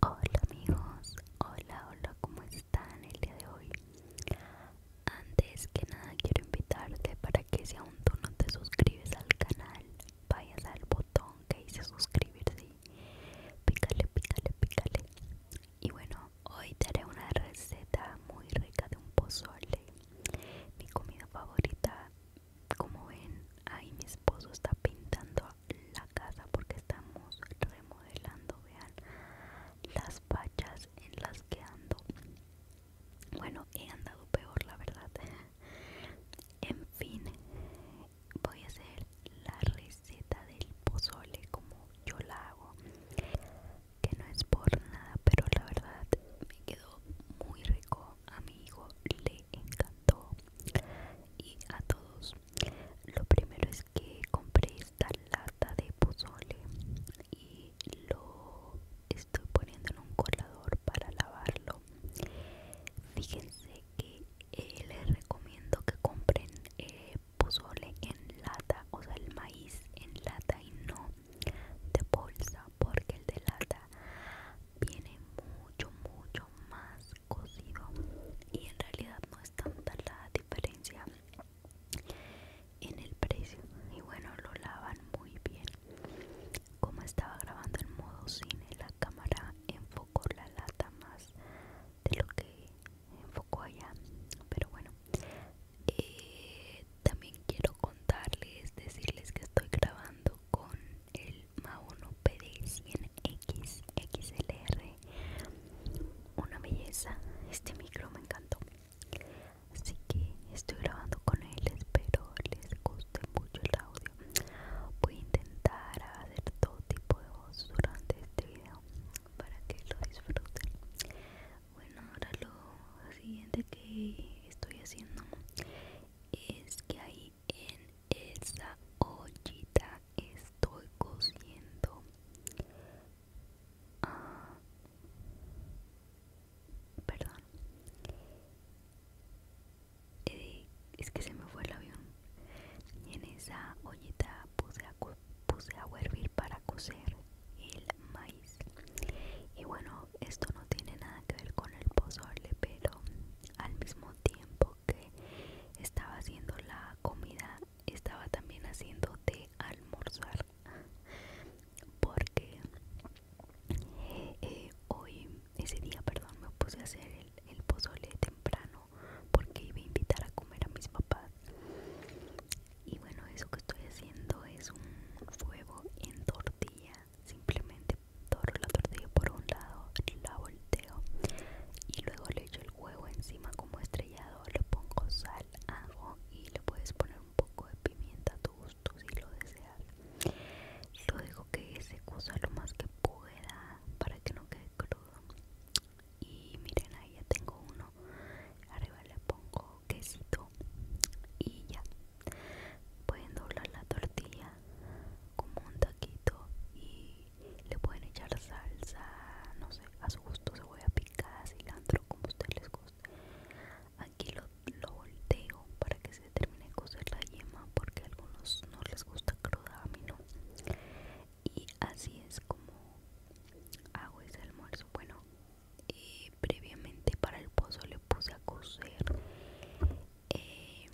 Hola amigos, hola, hola, ¿cómo están el día de hoy? Antes que nada quiero invitarte para que si aún tú no te suscribes al canal, vayas al botón que dice suscribirse, pícale, pícale, pícale. Y bueno, hoy te haré una receta muy rica de un pozole, mi comida favorita. Como ven, ahí mi esposo está pintando la casa porque estamos remodelando vean las pachas en las que ando bueno he andado peor la verdad en fin voy a hacer la receta del pozole como yo la hago que no es por nada pero la verdad me quedó muy rico a mi hijo le encantó y a todos lo primero es que compré esta lata de pozole y lo estoy poniendo en un colador para lavarlo. Fíjense que eh, les recomiendo que compren eh, pozole en lata, o sea, el maíz en lata y no de bolsa, porque el de lata viene mucho, mucho más cocido y en realidad no es tanta la diferencia en el precio y bueno lo lavan muy bien como estaba grabando en modo cine la cámara enfocó la lata más de lo que enfocó allá pero bueno eh, también quiero contarles decirles que estoy grabando con el Ma1 PD100X XLR una belleza este micro me encantó así que estoy grabando con él espero les guste mucho el audio voy a intentar hacer todo tipo de voz durante este video para que lo disfruten bueno ahora lo siguiente que estoy haciendo es que ahí en esa ollita estoy cociendo ah, perdón eh, es que se me fue el avión y en esa ollita puse, a, puse a hervir para cocer el maíz y bueno esto no tiene nada que ver con el pozole pero al mismo tiempo estaba haciendo la comida estaba también haciendo de almorzar porque eh, hoy ese día perdón me puse a hacer el, pozole temprano porque iba a invitar a comer a mis papás y bueno eso que estoy haciendo es un fuego en tortilla simplemente torro la tortilla por un lado la y luego le echo el huevo encima como estrellado, le pongo sal, ajo y le puedes poner un poco de pimienta a tu gusto si lo deseas. Lo digo que se cuza lo más que pueda para que no quede crudo. Y miren, ahí ya tengo uno. Arriba le pongo quesito y ya. Pueden doblar la tortilla como un taquito y le pueden echar salsa, no sé, a su gusto, a picar cilantro, como a usted les guste. Aquí lo, volteo para que se termine de cocer la yema porque a algunos no les gusta cruda, a mí no. Y así es como hago ese almuerzo. Bueno, eh, previamente para el pozo le puse a cocer Em,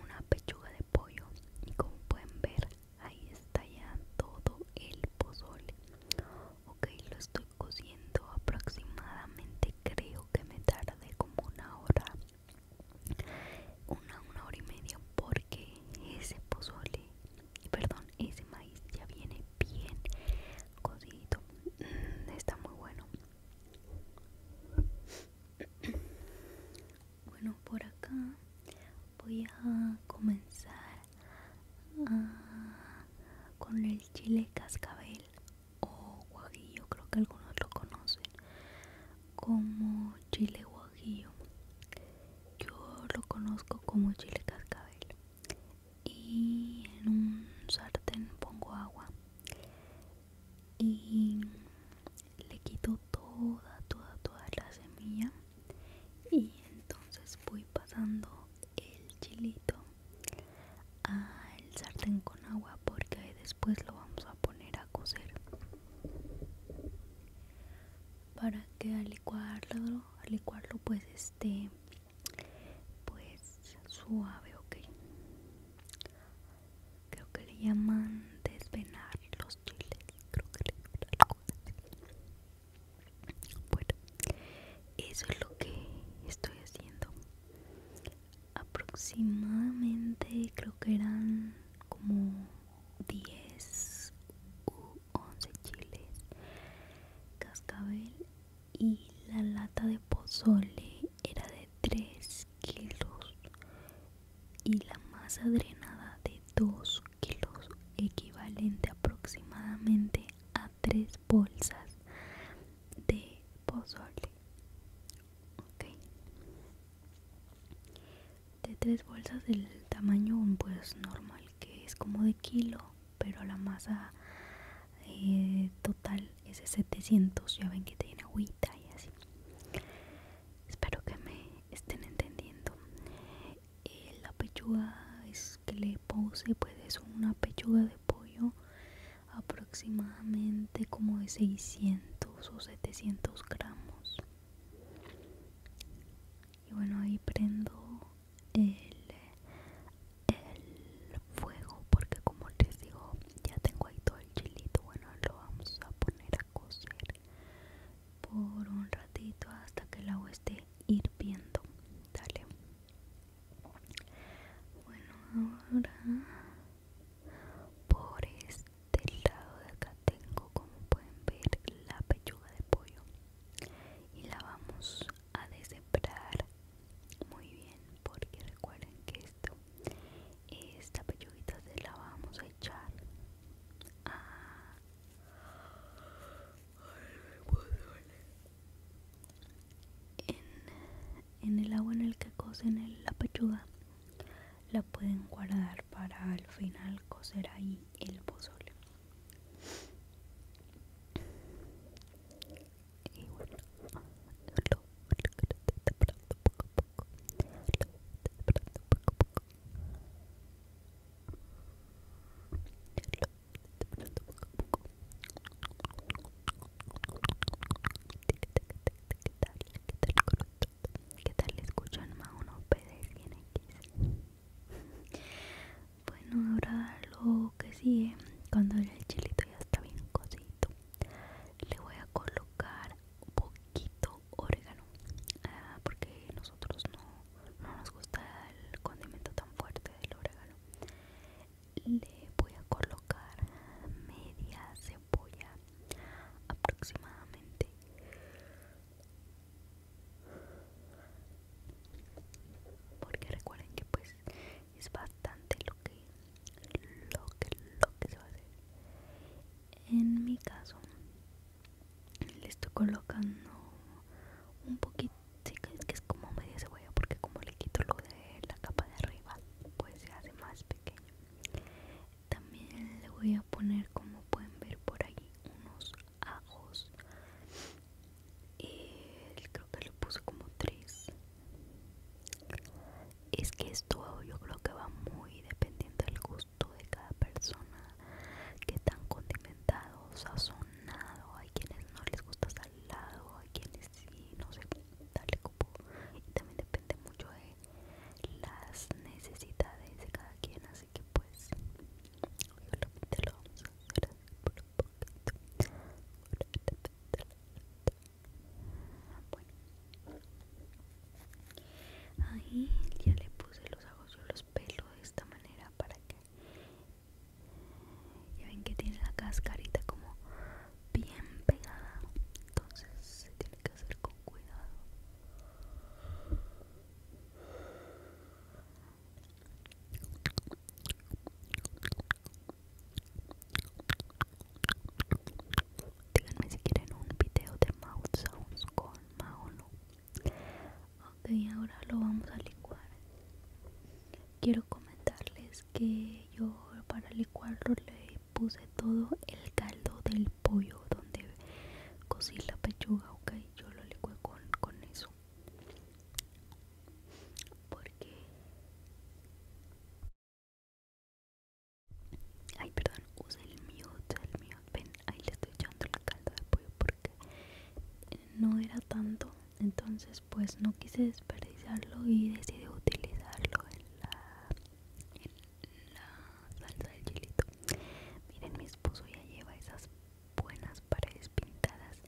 una pechuga de pollo y como pueden ver ahí está ya todo el pozole ok lo estoy cociendo aproximadamente creo que me tardé como una hora una, una hora y media porque ese pozole perdón ese maíz ya viene bien cocido mm, está muy bueno bueno por acá voy a comenzar ah, con el chile cascabel o guajillo creo que algunos lo conocen como chile guajillo yo lo conozco como chile cascabel y en un sartén pongo agua y le quito toda toda toda la semilla y entonces voy pasando el chilito al sartén con agua porque después lo vamos a poner a cocer para que al licuarlo al licuarlo pues esté pues suave ok creo que le llaman desvenar los chiles, creo que le llaman algo Bueno, eso es lo que estoy haciendo. Aproximadamente creo que eran como 10 u 11 chiles, cascabel y la lata de pozole era de 3 kilos y la masa drenada de 2 kilos equivalente aproximadamente a 3 bolsas de pozole de 3 bolsas del tamaño pues normal que es como de kilo pero la masa eh, total es de 700 ya ven que tiene agüita y así espero que me estén entendiendo eh, la pechuga es que le puse pues es una pechuga de pollo aproximadamente como de 600 o 700 gramos y bueno ahí prendo el, el fuego porque como les digo ya tengo ahí todo el chilito bueno lo vamos a poner coser por un ratito hasta que el agua esté hirviendo. Dale. Bueno, ahora por este lado de acá tengo, como pueden ver, la pechuga de pollo y la vamos a deshebrar muy bien porque recuerden que esta pechuguita se la vamos a echar a en, en el agua en el que cocen la pechuga la pueden guardar para al final cocer ahí el pozole poco. ¿Qué tal escuchan más unos Bueno, ahora lo que sigue, cuando el chilito ya está bien cosito, le voy a colocar un poquito quito orégano ah, porque nosotros no, no nos gusta el condimento tan fuerte del orégano le voy a colocar media cebolla aproximadamente porque recuerden que pues es bastante lo que lo que lo que se va a hacer en mi caso le estoy colocando un poquito es que es como media cebolla porque como le quito lo de la capa de arriba pues se hace más pequeño también le voy a poner como pueden ver por ahí unos ajos creo que le puse como tres es que esto yo creo que va muy dependiendo del gusto de cada persona, que tan condimentado, sazonado, hay quienes no les gusta salado, hay quienes sí, no sé, dale como y también depende mucho de las necesidades de cada quien, así que pues lo ahí ya le puse los ojos yo los pelo de esta manera para que ya ven que tiene la cascarita como bien pegada entonces se tiene que hacer con cuidado díganme si quieren un video de mouth sounds con no. ok ahora lo vamos a licuar quiero comentarles que yo para licuarlo le puse todo el caldo del pollo donde cocí la pechuga ok yo lo licué con, con eso porque Ay, perdón, usa el mute, el mío. Ven, ahí le estoy echando la calda de pollo porque no era tanto. Entonces, pues no quise desperdiciarlo y decidí utilizarlo en la, salsa del chilito. Miren, mi esposo ya lleva esas buenas paredes pintadas.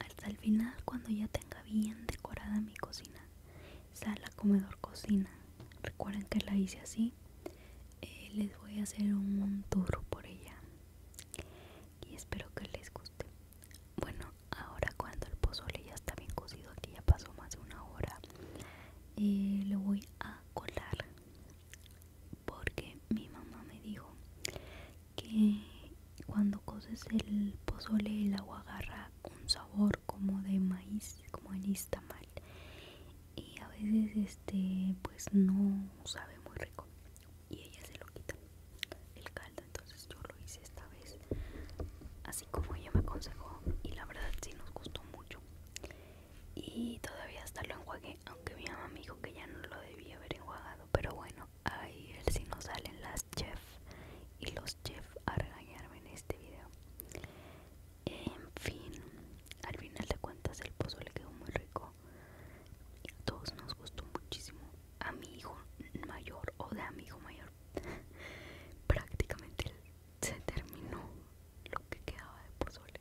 hasta el final, cuando ya tenga bien decorada mi cocina, sala, comedor, cocina. Recuerden que la hice así. Eh, les voy a hacer un tour por ella. Y espero que les guste. Bueno, ahora cuando el pozole ya está bien cocido, aquí ya pasó más de una hora, le eh, lo voy a colar. Porque mi mamá me dijo que cuando coces el pozole el agua agarra un sabor como de maíz, como el istamal. Y a veces este pues no sabe muy rico y ella se lo quita el caldo, entonces yo lo hice esta vez así como ella me aconsejó y la verdad si nos gustó mucho. Y todavía hasta lo enjuagué, aunque mi mamá me dijo que ya no lo debía haber enjuagado, pero bueno, ahí el sí nos salen las chef y los jeff a regañarme en este video. En fin, al final de cuentas el pozole le quedó muy rico. A todos nos gustó muchísimo. A mi hijo mayor o de a mi hijo mayor prácticamente se terminó lo que quedaba de pozole.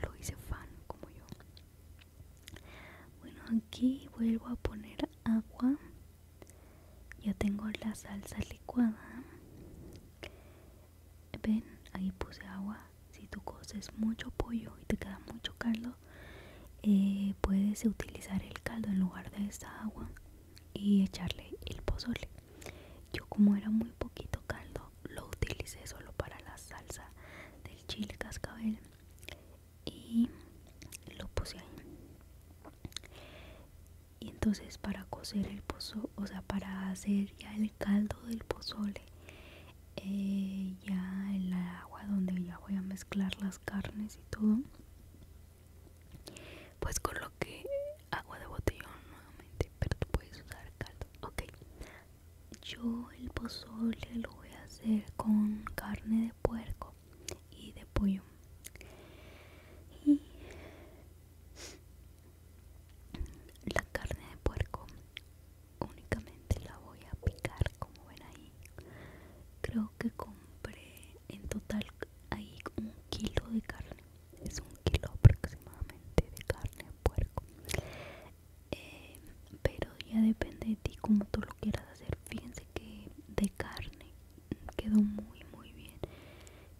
Lo hice fan como yo. Bueno, aquí vuelvo a poner agua ya tengo la salsa licuada ven ahí puse agua si tú coces mucho pollo y te queda mucho caldo eh, puedes utilizar el caldo en lugar de esta agua y echarle el pozole yo como era muy poquito caldo lo utilicé solo para la salsa del chile cascabel y lo puse ahí y entonces para cocer el pozole, o sea para hacer ya el caldo del pozole eh, ya ya el agua donde ya voy a mezclar las carnes y todo pues con agua de botellón nuevamente pero tú puedes usar caldo ok yo el pozole lo voy a hacer con carne de puerco y de pollo y la carne de puerco únicamente la voy a picar como ven ahí creo que compré en total ahí un kilo de carne es un kilo aproximadamente de carne de puerco eh, pero ya depende de ti como tú lo quieras hacer fíjense que de carne quedó muy muy bien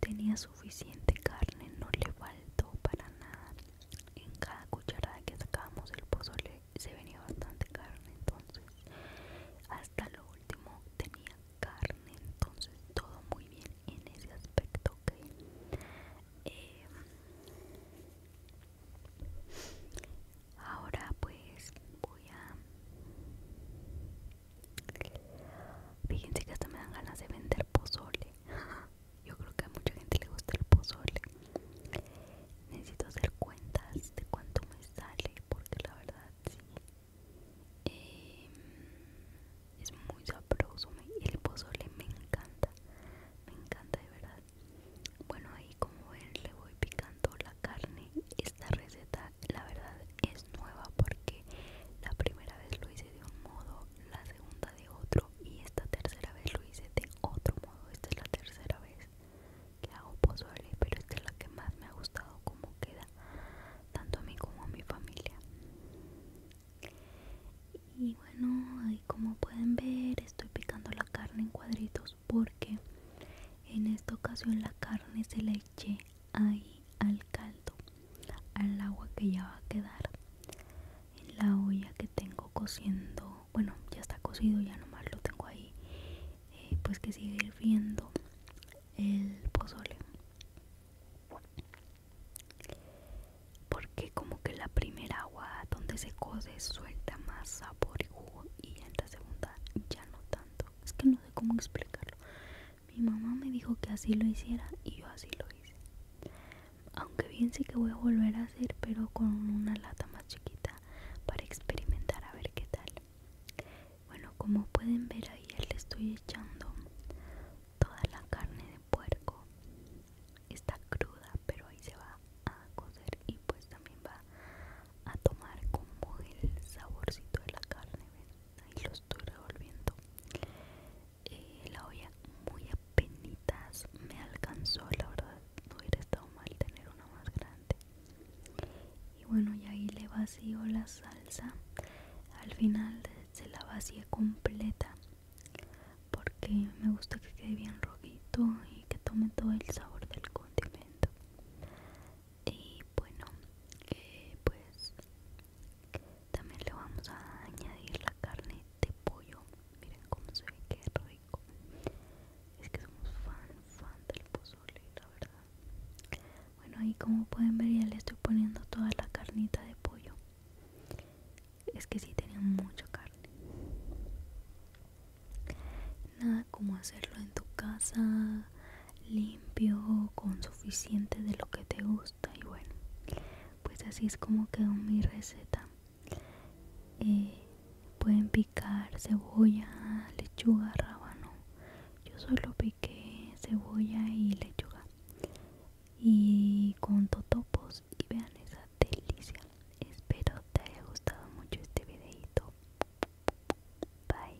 tenía suficiente carne no le faltó para nada en cada cucharada que sacábamos del pozole se venía bastante carne entonces hasta lo último tenía carne entonces todo muy bien en ese aspecto que em, ahora pues voy a Fíjense que hasta me dan ganas de vender pozole. Yo creo que a mucha gente le gusta el pozole. Necesito hacer cuentas de cuánto me sale porque la verdad sí. Em, es muy sabroso. El pozole me encanta. Me encanta de verdad. Bueno, ahí como ven le voy picando la carne esta receta la verdad es nueva porque la primera vez lo hice de un modo la segunda de otro y esta tercera vez lo hice de otro modo esta es la tercera vez que hago pozole pero esta es la que más me ha gustado como queda tanto a mí como a mi familia y bueno ahí como pueden ver estoy picando la carne en cuadritos porque en esta ocasión la carne se la eché ahí al caldo, al agua que ya va a quedar en la olla que tengo cociendo. Bueno, ya está cocido, ya nomás lo tengo ahí. Eh, pues que sigue hirviendo el pozole. Porque como que la primera agua donde se cose suelta más sabor y jugo y en la segunda ya no tanto. Es que no sé cómo explicarlo. Mi mamá me dijo que así lo hiciera y yo así lo hice. Aunque bien sí que voy a volver a hacer, pero con una lata más chiquita para experimentar a ver qué tal. Bueno, como pueden ver ahí le estoy echando toda la carne de puerco. Está cruda, pero ahí se va a cocer y pues también va a tomar como el saborcito de la carne, ahí lo estoy revolviendo eh, la olla muy apenitas me alcanzó la verdad no hubiera estado mal tener una más grande y bueno y ahí le vacío la salsa al final se la vacía completa porque me gusta que quede bien rojito y que tome todo el sabor del condimento y bueno eh, pues también le vamos a añadir la carne de pollo miren cómo se ve que rico es que somos fan fan del pozole la verdad bueno ahí como pueden ver ya le estoy poniendo toda la carnita de pollo es que si, tenía mucha carne nada como hacerlo en tu casa limpio con suficiente de lo que te gusta y bueno pues así es como quedó mi receta eh, pueden picar cebolla lechuga rábano yo solo piqué cebolla y lechuga y con totopos y vean esa delicia espero te haya gustado mucho este videito bye